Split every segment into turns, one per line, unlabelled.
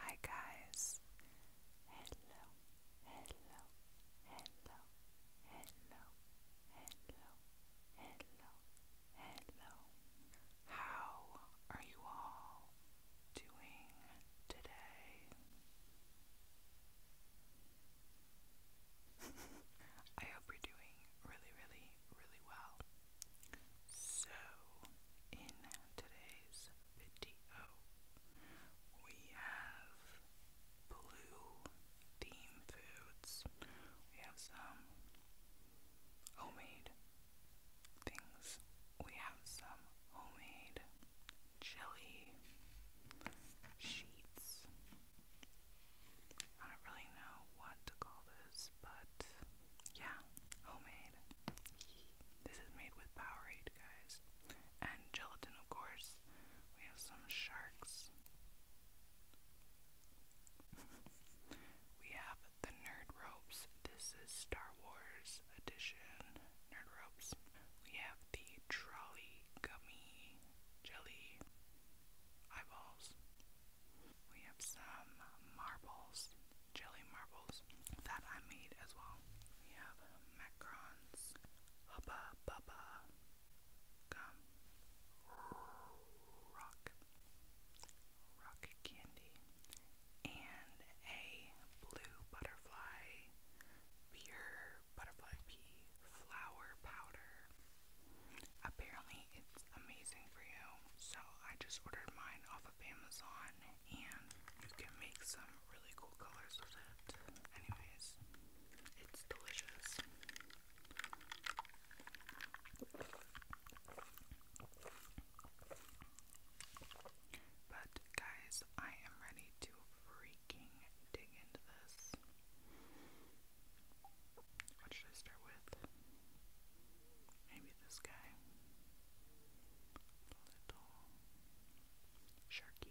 Hi guys. Hello. Hello. Hello. Hello. Hello. Hello. Hello. How are you all doing today? I hope you're doing really, really, really well. So, in today's video, we have blue theme foods. We have some homemade things. We have some homemade jelly sheets. I don't really know what to call this this, but yeah, homemade. This is made with Powerade, guys, and gelatin, of course. We have some sharks. we have the Nerd Ropes. This is Star Wars edition Nerd Ropes. We have the Trolley Gummy Jelly Eyeballs. We have some marbles jelly marbles that I made as well. We have macarons, hubba bubba, gum, rock, rock candy, and a blue butterfly, pure butterfly pea flower powder. Apparently, it's amazing for you. So I just ordered mine off of Amazon, and you can make some really cool colors with it. Anyways, it's delicious. But guys, I am ready to freaking dig into this. What should I start with? Maybe this guy. Little sharky.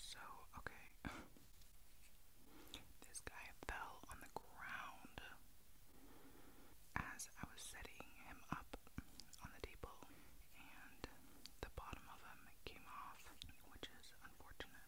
So, okay. this guy fell on the ground as I was setting him up on the table, and the bottom of him came off, which is unfortunate.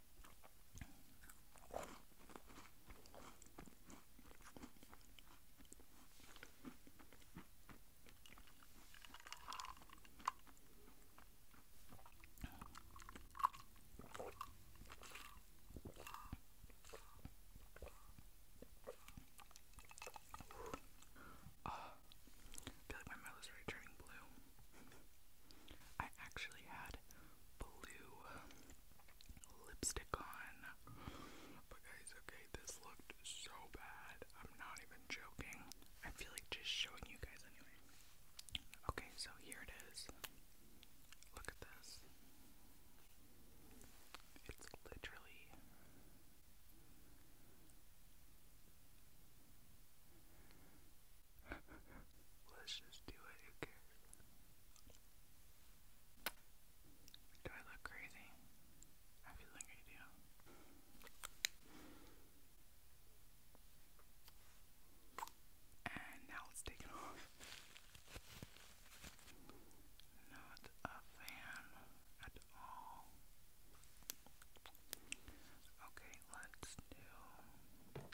Uh, I feel like my mouth is turning blue. I actually had blue um, lipstick on. But guys, okay, this looked so bad. I'm not even joking. I feel like just showing you guys anyway. Okay, so here it is. Look at this. It's literally Let's just do it, who cares? Do I look crazy? I feel like I do. And now let's off. Not a fan at all. Okay, let's do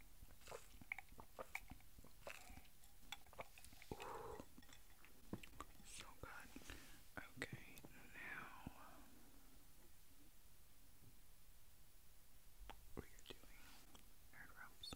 So good. Okay, now um, we are doing hair drops.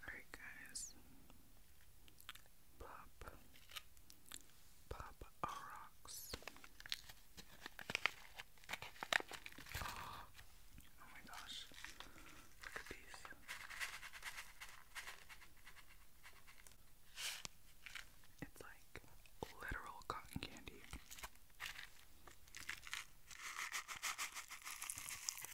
Alright guys. Pop. Pop rocks. Oh, oh my gosh. Look at these. It's like literal cotton candy.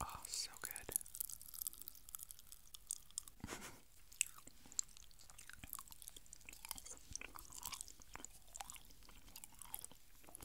Oh, so good.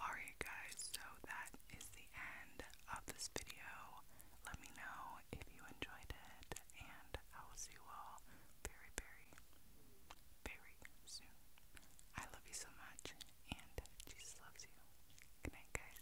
Alright guys, so that is the end of this video. Let me know if you enjoyed it and I will see you all very, very, very soon. I love you so much and Jesus loves you. Good night guys.